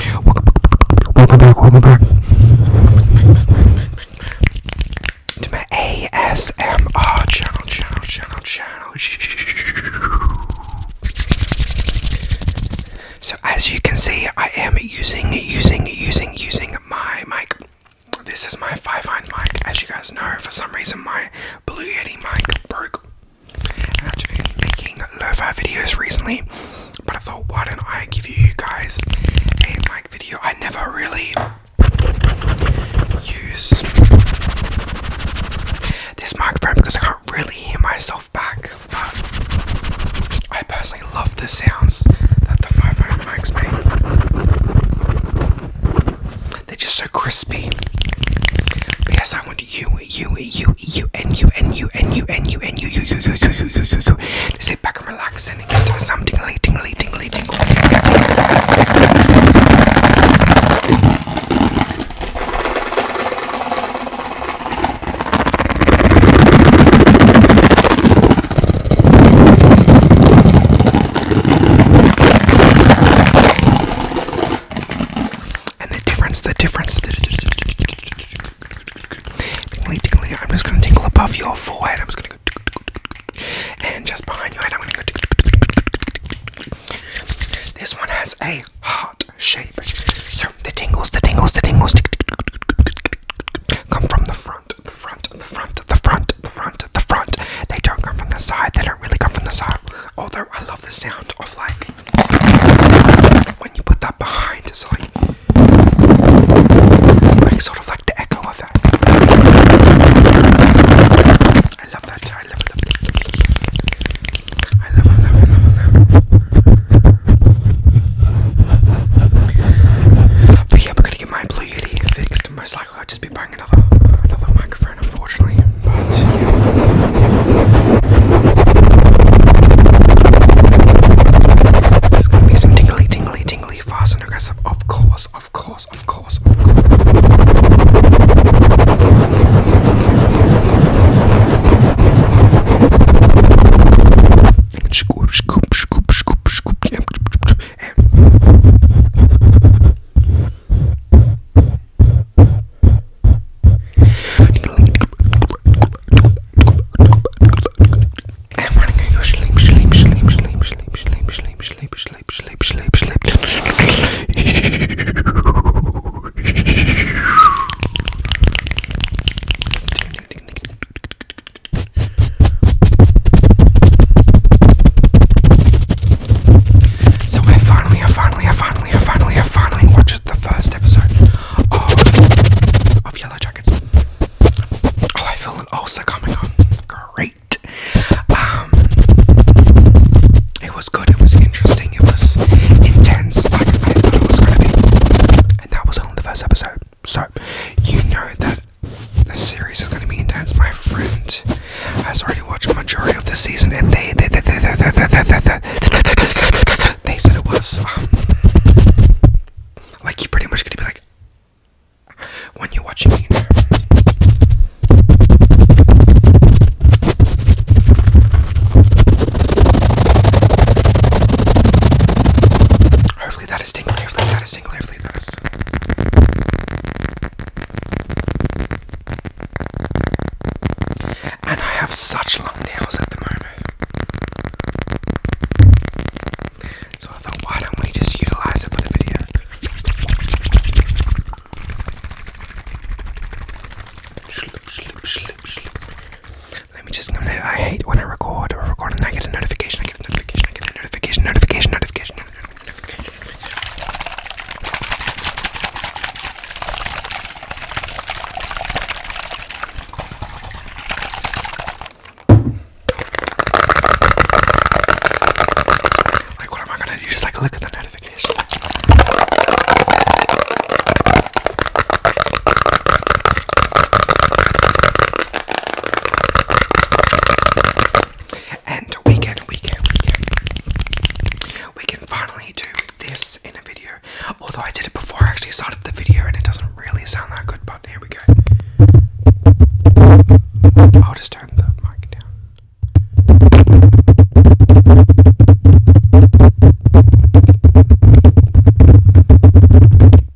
Welcome back, welcome back, welcome back to my ASMR channel, channel, channel, channel. So as you can see, I am using, using, using, using my mic. This is my Five Hind mic. As you guys know, for some reason my Blue Yeti mic broke. And I've been making lo-fi videos recently, but I thought, why don't I give you guys a mic video? I never really use this microphone because I can't really hear myself back. But I personally love the sounds that the 500 mics make. They're just so crispy. But yes, I want you, you, you, you you and you and you and you and you and you you you you you you you you you sit back and relax and get to something leading leading leading and the difference the difference Tingly, tingly. I'm just gonna tingle above your forehead. I'm just gonna go, and just behind your head. I'm gonna go. This one has a heart shape, so the tingles, the tingles, the tingles come from the front, the front, the front, the front, the front, the front. They don't come from the side. They don't really come from the side. Although I love the sound of like when you put that behind, it's like. Like sort of like the echo of that. I love that. I love it. I love it. I love it. I love it. But yeah, we're gonna get my blue UD fixed. Most likely, I'll just be buying another another microphone, unfortunately. There's gonna be some tingly, tingly, tingly, fast and aggressive. Of course, of course, of course, of course. Scoop, scoop, scoop, scoop, scoop. Yeah. Tingly, tingly, and we gonna go sleep, sleep, sleep, sleep, sleep, sleep, sleep, sleep, sleep, sleep, sleep, sleep. So I finally, I finally, I finally, I finally, I finally watched the first episode of, of Yellow Jackets seconds. Oh, I feel an ulcer coming Great. Um, it was good. It was interesting. It was intense. Like I thought it was gonna be. And that was only the first episode. So you know that the series is gonna be intense. My friend has already watched the majority of the season, and they they they they they they, they, they, they, they said it was. Um, like, you are pretty much gonna be like, when you're watching me. Hopefully that is tingly, hopefully that is tingly, hopefully that is. And I have such long nails at the moment right? So I thought, why don't we just utilize it for the video? Let me just. I hate when I record or record and I get a notification. I get a notification. I get a notification. Notification. Notification. notification. Like, what am I gonna do? Just like look at the notification. And we can, we can, we can, we can finally do this in a video. Although I did it before I actually started the video and it doesn't really sound that good, but here we go. I'll just turn the mic down.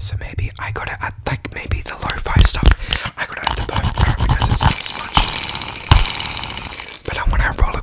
So maybe I got it at like maybe the lo-fi stuff. I got it at the perfect because it sounds much. But I want to roll it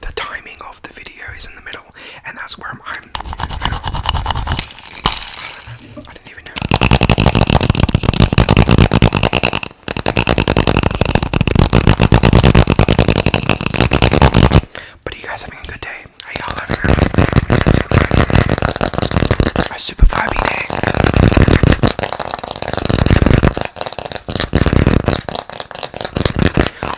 the, timing of the video is in the middle, and that's where I'm. I'm I, am i do not know, I didn't even know. But are you guys having a good day? Are y'all having a super vibey day?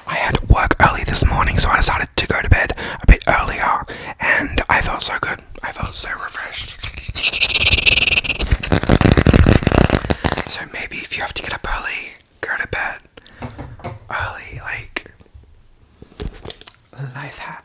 I had to work early this morning, so I decided to go to bed a bit earlier, and I felt so good. I felt so refreshed. So maybe if you have to get up early, go to bed early, like life hack.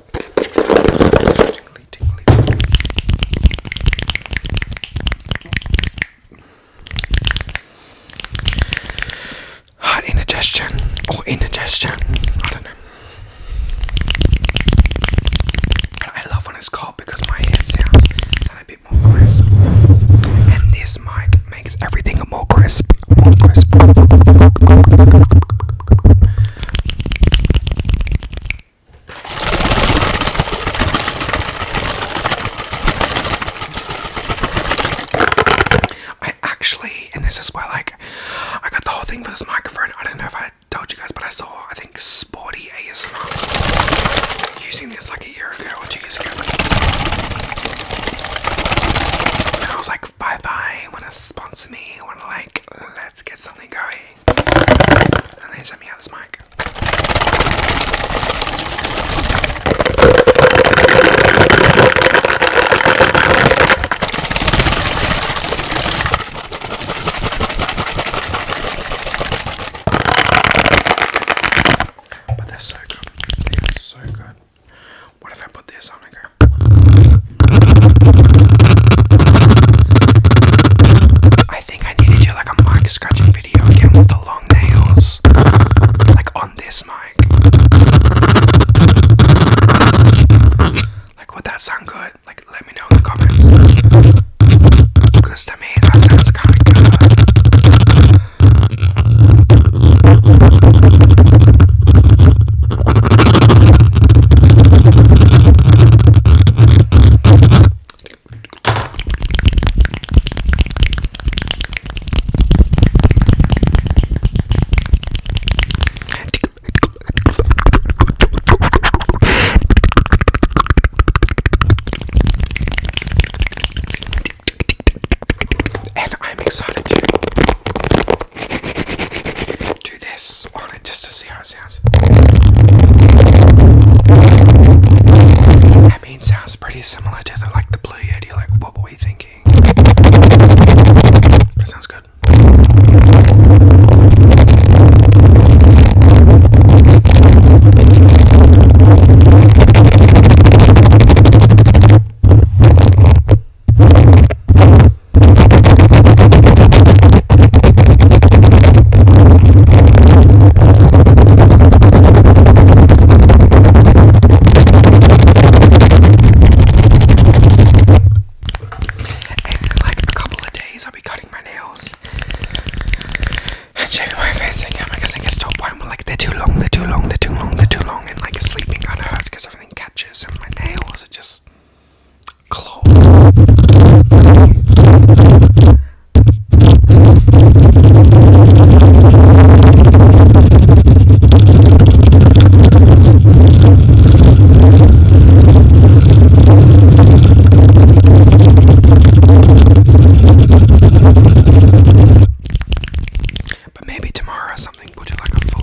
Hot indigestion or oh, indigestion. I don't know. I love when it's cold because my head sounds a bit more crisp. And this mic makes everything More crisp. I actually, and this is where like I got the whole thing for this microphone. I don't know if I told you guys, but I saw I think Sporty ASMR using this like a year ago or two years ago. And I was like, bye bye, wanna sponsor me, wanna like let's get something going. And they sent me out this mic. But they're so good. They are so good. What if I put this on I think I need to do like a mic scratching video again with the long nails. Like on this mic. Like would that sound good? Like let me know in the comments. Cause sounds kinda good. And I'm excited to do this on it just to see how it sounds. I mean, sounds pretty similar to the like the Blue Yeti. Like, what were we thinking? That sounds good. And like a couple of days, I'll be cutting my nails and shaving my face again because I get to a point where they're too long, they're too long, they're too long, they're too long, and like sleeping kind of hurts because everything catches and my nails are just claw. But maybe tomorrow something will do like a full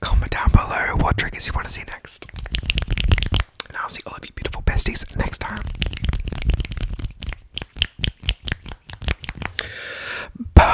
Comment down below what triggers you want to see next. And I'll see all of you beautiful besties next time. Bye.